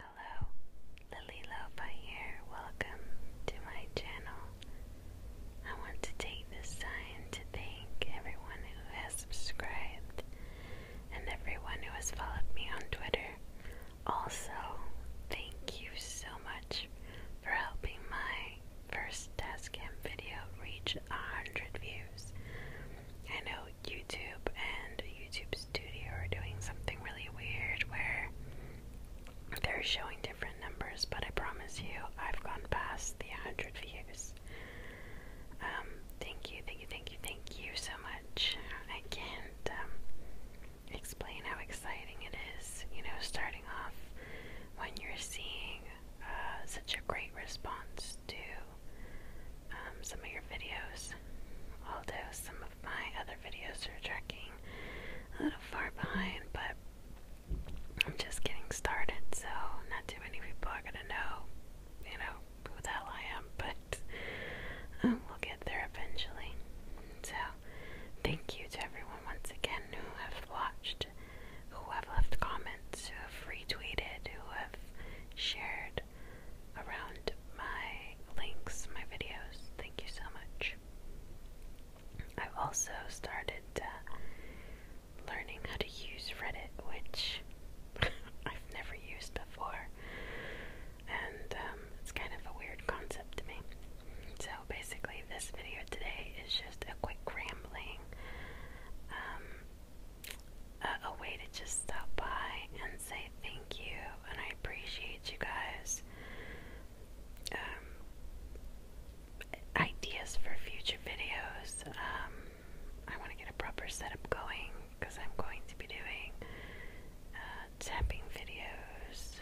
Hello, Lily Lopa here. Welcome to my channel. I want to take this time to thank everyone who has subscribed and everyone who has followed me on Twitter. Also, thank you so much for helping my first desk cam video reach 100 views. I know YouTube and YouTube Studio are doing something really weird where they're showing different numbers, but I promise you, I've gone past the 100 views. Um, thank you, thank you, thank you, thank you so much. I explain how exciting it is, you know, starting off when you're seeing uh, such a great response to um, some of your videos. Although some of my other videos are tracking a little far behind, but I'm just getting started, so not too many people are gonna know, you know, who the hell I am, but um, we'll get there eventually. So, thank you to everyone once again who have watched, who have left comments, who have retweeted, who have shared around my links, my videos. Thank you so much. I've also started uh, learning how to use Reddit, which I've never used before and um, it's kind of a weird concept to me. So basically, this video today is just a quick rambling, um, a, way to just stop by and say thank you, and I appreciate you guys. Um, ideas for future videos. I want to get a proper setup going because I'm going to be doing uh, tapping videos,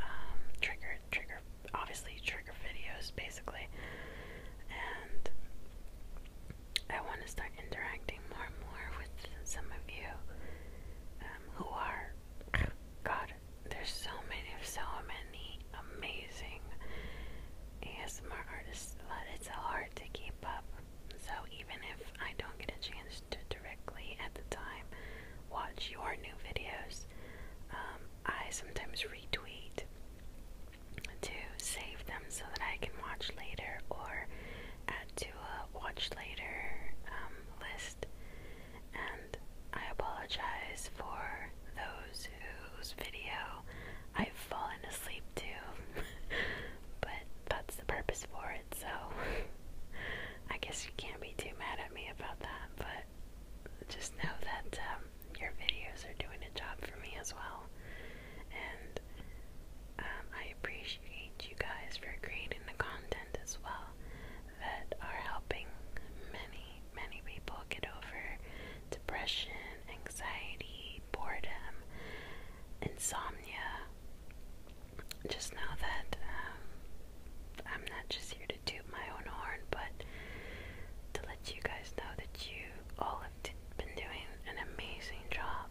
um, trigger, trigger, obviously trigger videos basically, and I want to start interacting more and more with some of you um, who are. God, there's so many, so many amazing ASMR artists that it's hard to keep up. So even if I don't get a chance to directly at the time watch your new videos, um, I sometimes retweet to save them so that I can watch later or add to a watch later um, list and I apologize for those whose video I've fallen asleep to, but that's the purpose for it, so I guess you can't be too mad at me about that, but just know that um, your videos are doing a job for me as well, and um, I appreciate you guys for creating the content as well that are helping many, many people get over depression, anxiety, boredom, insomnia. Just know that um, I'm not just here to toot my own horn, but to let you guys know that you all have been doing an amazing job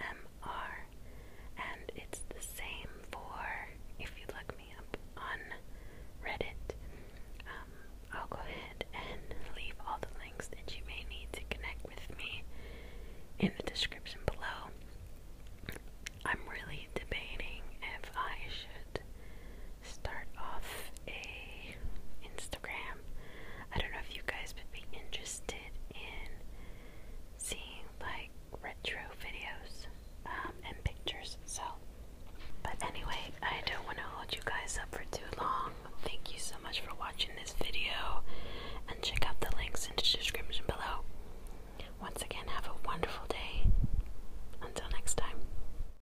MR, and it's the same for if you look me up on Reddit. Um, I'll go ahead and leave all the links that you may need to connect with me in the description below. I'm really debating if I should start off a Instagram. I don't know if you guys would be interested in seeing like retro videos um, and pictures. So, but anyway, I don't want to hold you guys up for too long. Thank you so much for watching this video, and check out the links in the description below. Once again, have a wonderful day. Until next time.